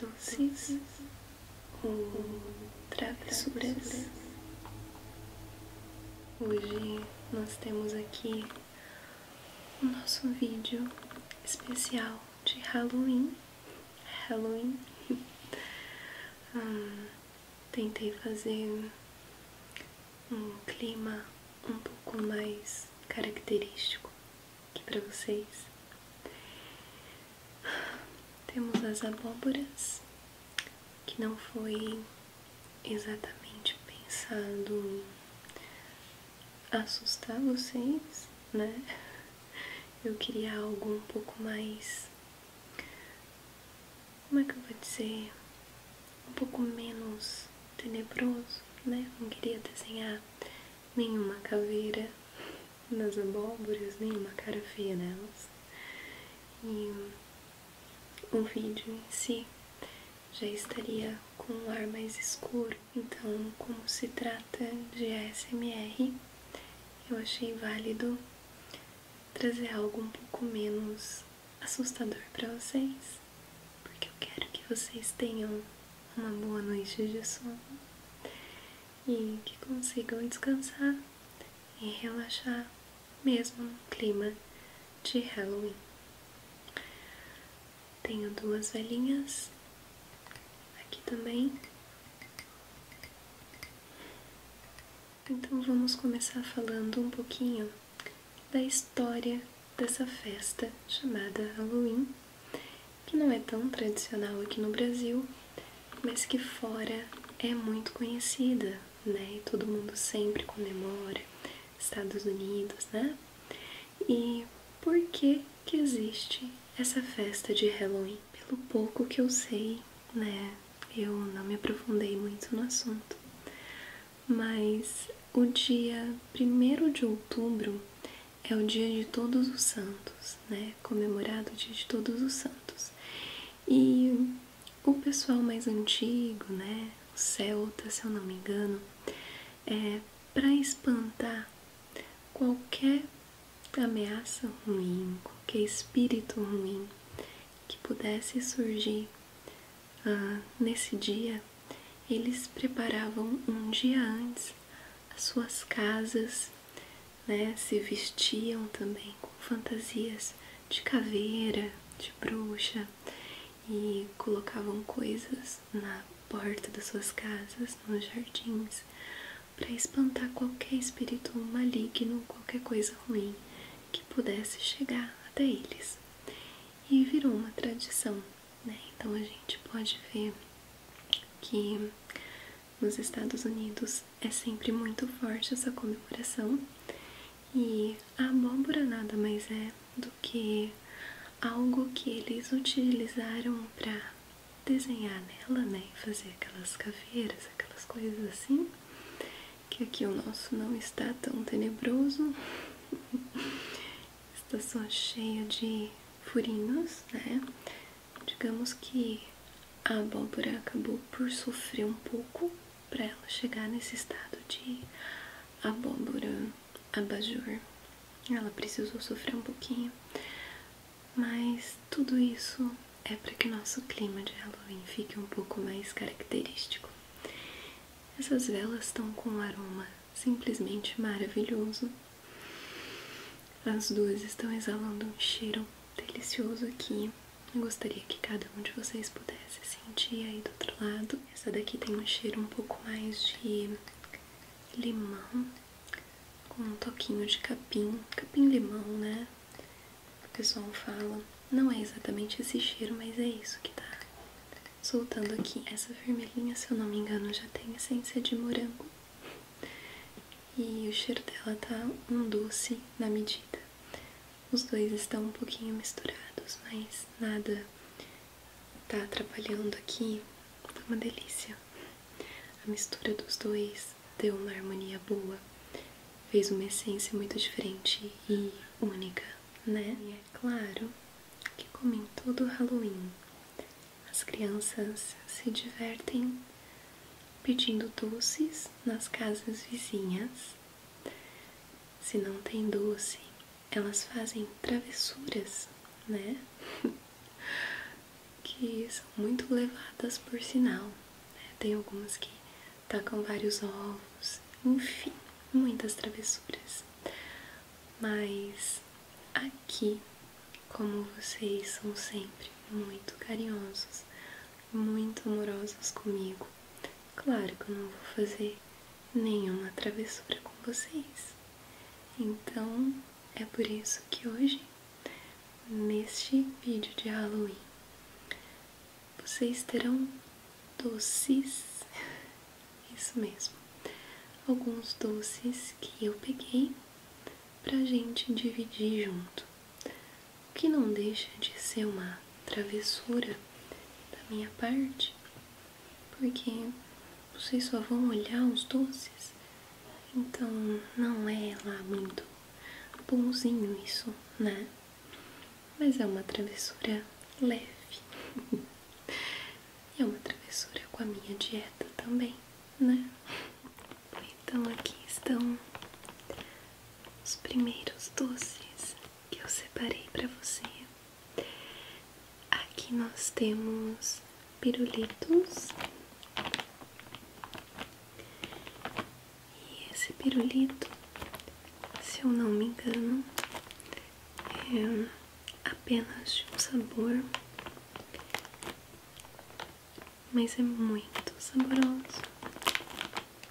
Doces ou travessuras? Hoje nós temos aqui o nosso vídeo especial de Halloween. Halloween. Ah, tentei fazer um clima um pouco mais característico aqui para vocês. Temos as abóboras, que não foi exatamente pensado assustar vocês, né? Eu queria algo um pouco mais. Como é que eu vou dizer? Um pouco menos tenebroso, né? Não queria desenhar nenhuma caveira nas abóboras, nenhuma cara feia nelas. E o vídeo em si já estaria com um ar mais escuro. Então, como se trata de ASMR, eu achei válido trazer algo um pouco menos assustador para vocês, porque eu quero que vocês tenham uma boa noite de sono e que consigam descansar e relaxar mesmo no clima de Halloween. Tenho duas velhinhas aqui também. Então vamos começar falando um pouquinho da história dessa festa chamada Halloween, que não é tão tradicional aqui no Brasil, mas que fora é muito conhecida, né? E todo mundo sempre comemora. Estados Unidos, né? e por que que existe essa festa de Halloween. Pelo pouco que eu sei, né, eu não me aprofundei muito no assunto, mas o dia 1 de outubro é o dia de todos os santos, né, comemorado o dia de todos os santos. E o pessoal mais antigo, né, celta, é se eu não me engano, é para espantar qualquer ameaça ruim, qualquer espírito ruim que pudesse surgir ah, nesse dia, eles preparavam um dia antes as suas casas, né, se vestiam também com fantasias de caveira, de bruxa e colocavam coisas na porta das suas casas, nos jardins, para espantar qualquer espírito maligno, qualquer coisa ruim que pudesse chegar até eles. E virou uma tradição, né? Então a gente pode ver que nos Estados Unidos é sempre muito forte essa comemoração e a abóbora nada mais é do que algo que eles utilizaram para desenhar nela, né? fazer aquelas caveiras, aquelas coisas assim. Que aqui o nosso não está tão tenebroso, está só cheio de furinhos, né? Digamos que a abóbora acabou por sofrer um pouco para ela chegar nesse estado de abóbora, abajur, ela precisou sofrer um pouquinho, mas tudo isso é para que nosso clima de Halloween fique um pouco mais característico. Essas velas estão com um aroma simplesmente maravilhoso. As duas estão exalando um cheiro delicioso aqui. Eu gostaria que cada um de vocês pudesse sentir aí do outro lado. Essa daqui tem um cheiro um pouco mais de limão, com um toquinho de capim, capim-limão, né? O pessoal fala. Não é exatamente esse cheiro, mas é isso que tá soltando aqui. Essa vermelhinha, se eu não me engano, já tem essência de morango. E o cheiro dela tá um doce na medida. Os dois estão um pouquinho misturados, mas nada está atrapalhando aqui. Foi tá uma delícia. A mistura dos dois deu uma harmonia boa, fez uma essência muito diferente e única, né? E é claro que, como em todo Halloween, as crianças se divertem pedindo doces nas casas vizinhas se não tem doce, elas fazem travessuras, né? que são muito levadas por sinal. Né? Tem algumas que tacam vários ovos, enfim, muitas travessuras. Mas aqui, como vocês são sempre muito carinhosos muito amorosas comigo. Claro que eu não vou fazer nenhuma travessura com vocês. Então é por isso que hoje, neste vídeo de Halloween, vocês terão doces, isso mesmo, alguns doces que eu peguei pra gente dividir junto que não deixa de ser uma travessura da minha parte, porque vocês só vão olhar os doces, então não é lá muito bonzinho isso, né? Mas é uma travessura leve. é uma travessura com a minha dieta também, né? Então aqui estão os primeiros doces que eu separei para você. Aqui nós temos pirulitos. E esse pirulito, se eu não me engano, é apenas de um sabor, mas é muito saboroso.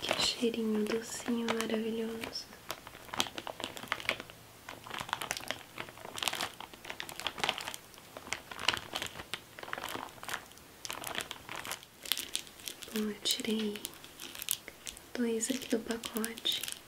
que cheirinho docinho maravilhoso. Bom, eu tirei dois aqui do pacote.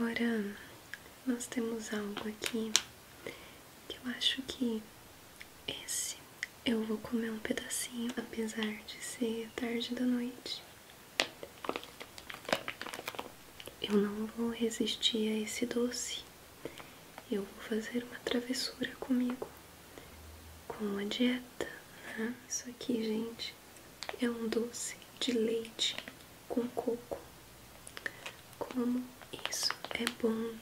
Agora nós temos algo aqui que eu acho que esse eu vou comer um pedacinho, apesar de ser tarde da noite. Eu não vou resistir a esse doce. Eu vou fazer uma travessura comigo, com uma dieta. Né? Isso aqui, gente, é um doce de leite com coco. Como isso é bom!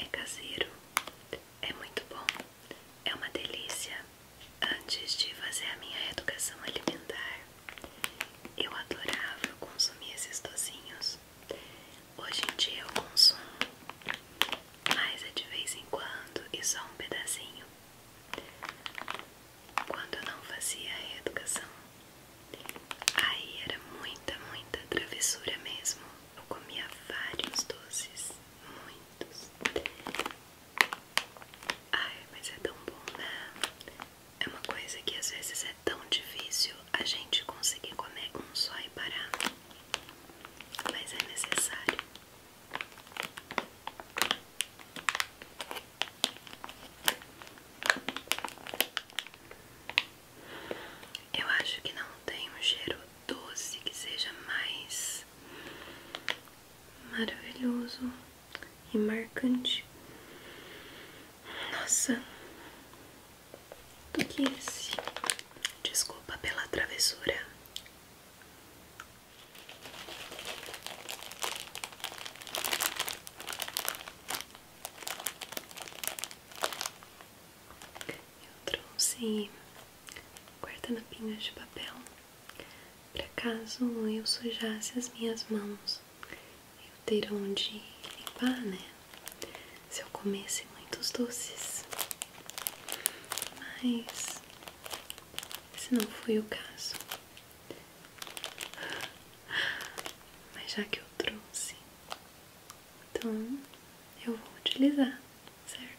É caseiro, é muito bom, é uma delícia. Antes de fazer a minha educação alimentar, eu adorava consumir esses docinhos. Hoje em dia eu consumo mas é de vez em quando e só um pedacinho. Quando eu não fazia a reeducação, aí era muita, muita travessura mesmo. Eu comia vários doces, muitos. Ai, mas é tão bom, né? É uma coisa que às vezes é tão difícil a gente conseguir comer um só e parar mas é necessário. Eu acho que não tem um cheiro doce que seja mais maravilhoso e marcante. Nossa, do que é esse. Desculpa pela travessura. Eu trouxe guardanapinhos de papel para caso eu sujasse as minhas mãos eu ter onde limpar, né? se eu comesse muitos doces, mas esse não foi o caso. Mas já que eu trouxe, então eu vou utilizar, certo?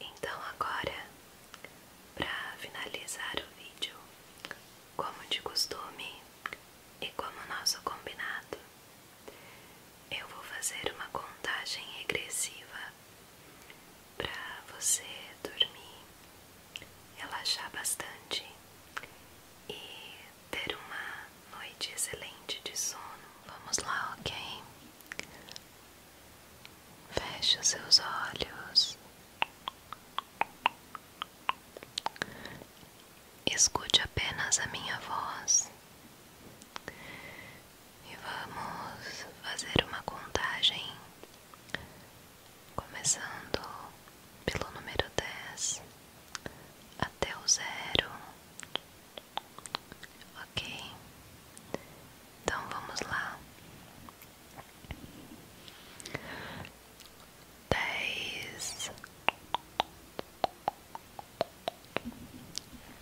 Então agora, para finalizar o vídeo, como de costume e como nosso combinado, eu vou fazer uma contagem regressiva para você dormir, relaxar bastante e ter uma noite excelente de sono. Vamos lá, ok? Feche os seus olhos. Escute apenas a minha voz e vamos fazer uma contagem começando pelo número dez até o zero. Ok, então vamos lá. Dez,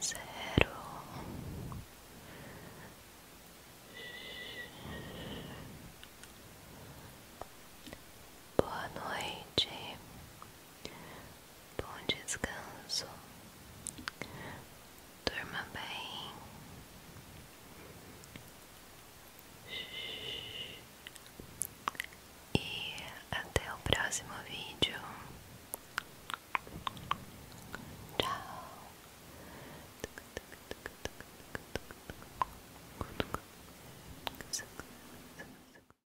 zero boa noite Bom descanso, durma bem. E até o próximo vídeo. Tchau.